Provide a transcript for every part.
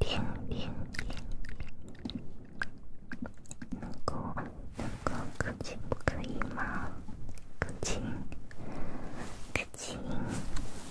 听听听，能够能够可不可以吗？可，以可，以。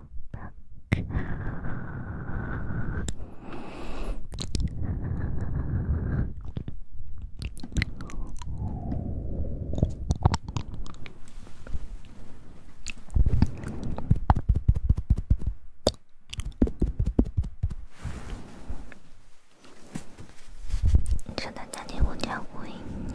你在家里无聊吗，你？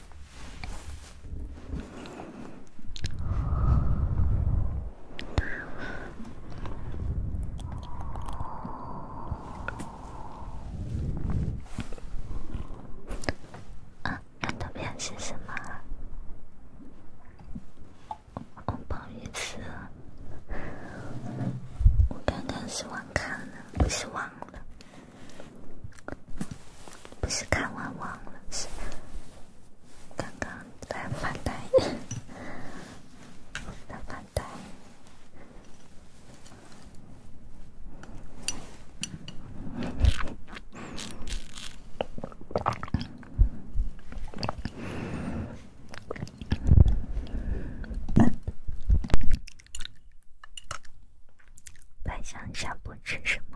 啊，那图片是什么？哦，不好意思，我刚刚是忘看了，是忘了。不是看完忘了，是刚刚在翻袋，在翻袋。再想一下不吃什么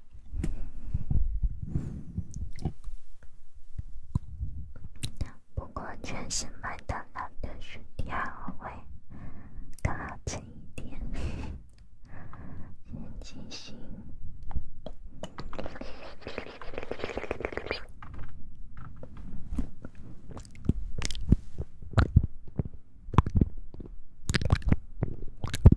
不过，全是麦当劳的薯条会，更好吃一点，先进行。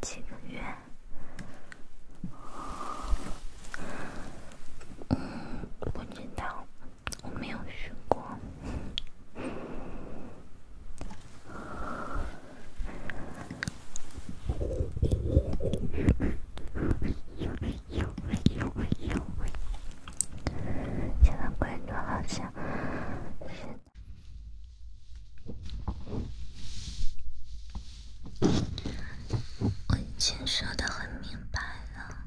几个月？嗯，不知道。我没有学过。好像，我说的很明白了。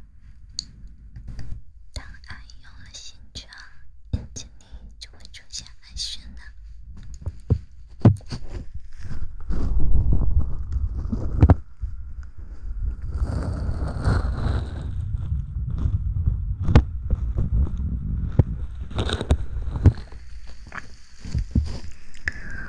当爱有了形状，眼睛里就会出现爱神了。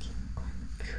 キンコンピュー。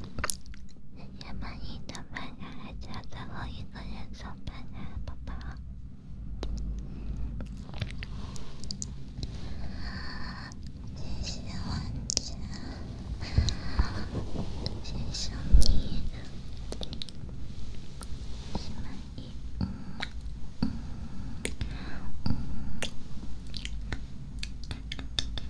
谢谢满意的朋友，还叫我一个人送伴娘，宝宝。谢谢玩家，谢谢你，满意。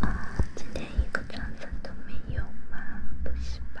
啊，今天一个妆粉都没有吗？不行吧。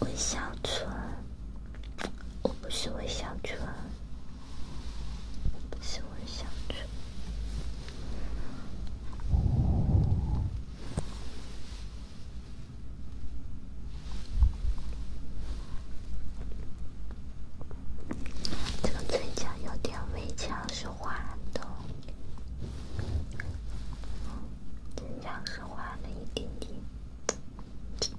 魏小纯，我不是魏小纯。不是我的小这个嘴角有点微，像是滑的，嘴角是滑了一点点。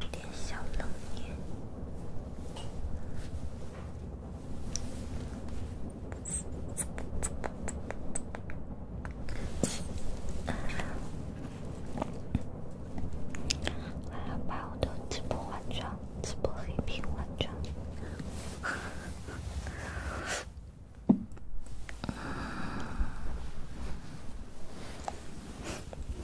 有点小冷脸，我要把我的直播关掉，直播黑屏关掉。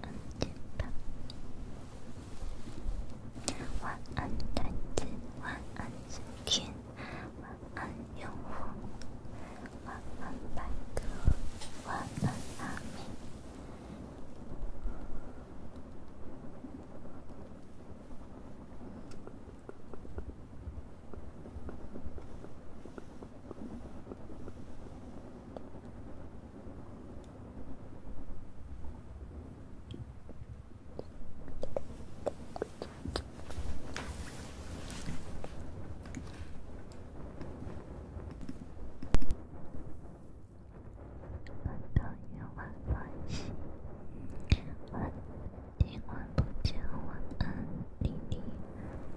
安吉爸，晚安，丹姐，晚安，春天，晚安，用户，晚安，白哥，晚安，阿明。晚安，晚安，晚安。今晚不讲晚安，丽丽，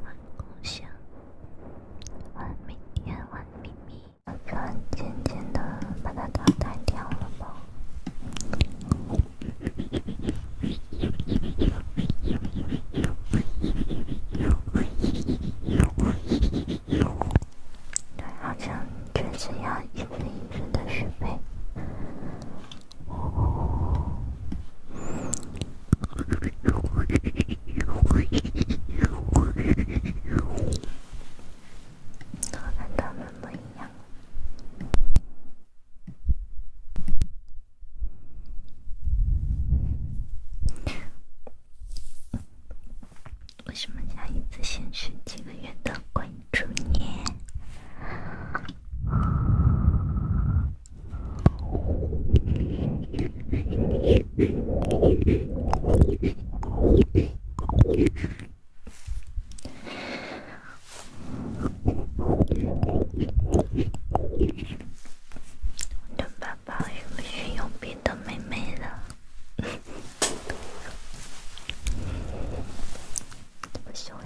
晚共享，晚明天，晚秘密。船渐渐的把它打翻掉了对，好像就一的续杯。我跟他们不一样。为什么想一次性吃几个月的滚珠捏？我的爸爸又不是有别的妹妹了，怎么说话呢？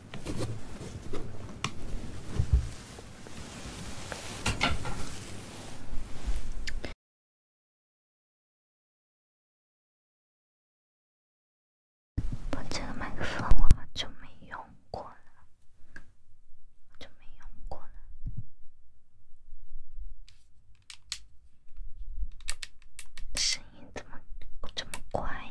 我这个麦克风我好久没用过了，就没用过了，声音怎么这么怪呀？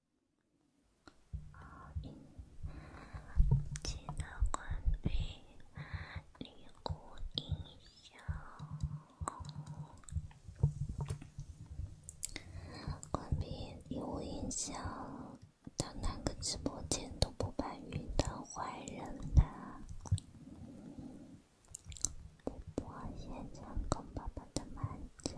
记得关闭关闭礼物响。他哪个直播间都不把云当坏人的，主播先讲公爸爸的满家。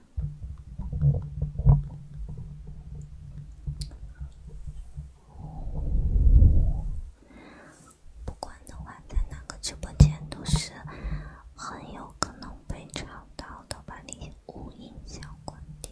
不管的话，在哪个直播间都是很有可能被吵到的，把礼物音响关掉。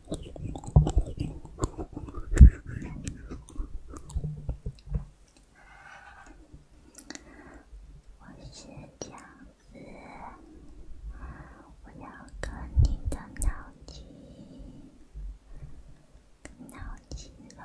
我是僵子，我要跟你的脑筋，脑筋喽！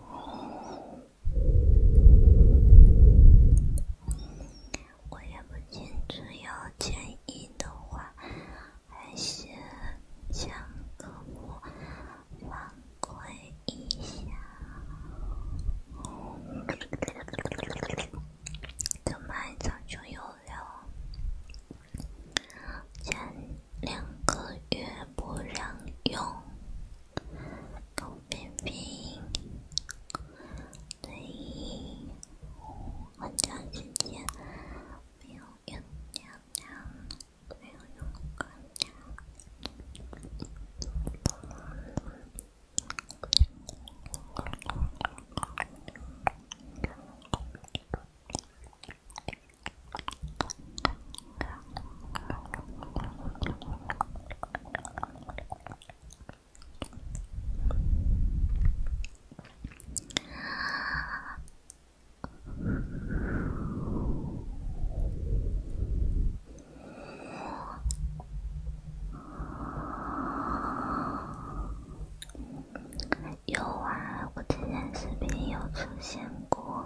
我也不清楚，要建议的话，还是将我放宽一下，这么早就有了。真。两个月不让用，狗便便内衣，换着时间没有用尿尿，没有用干净。有啊，我之前视频有出现过。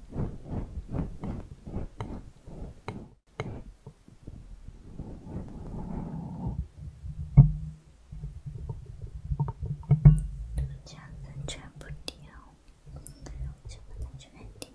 大家完全不听，完全不听。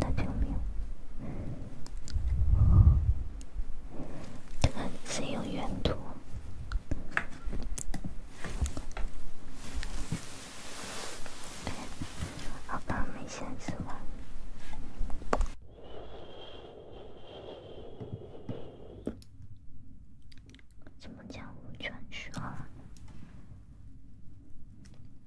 看他有没有，这个谁有原图？好吧，我们先去玩。怎么讲？传说？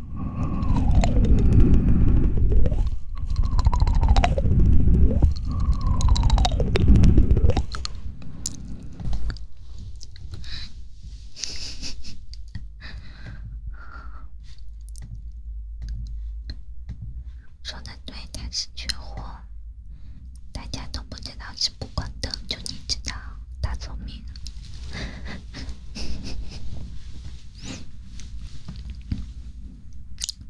说的对，他是缺货，大家都不知道是不管的，就你知道。大聪明，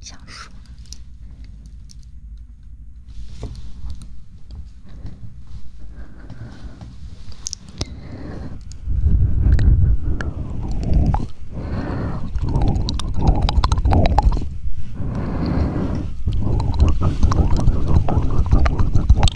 想说。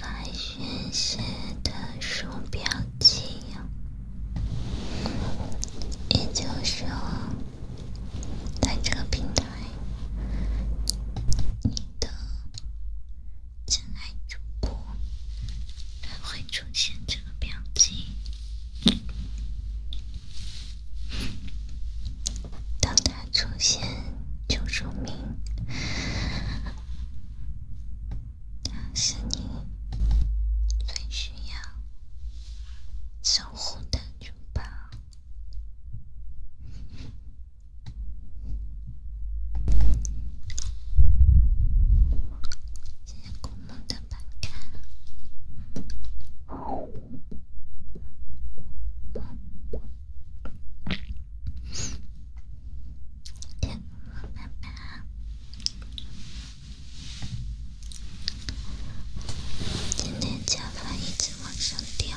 来宣泄的鼠标器，也就是说，在这个平台，你的。真爱主播，他会出现这个表情。当他出现，就说明他是你最需要守护的珠宝。谢谢公公的陪伴，了一只猫上吊。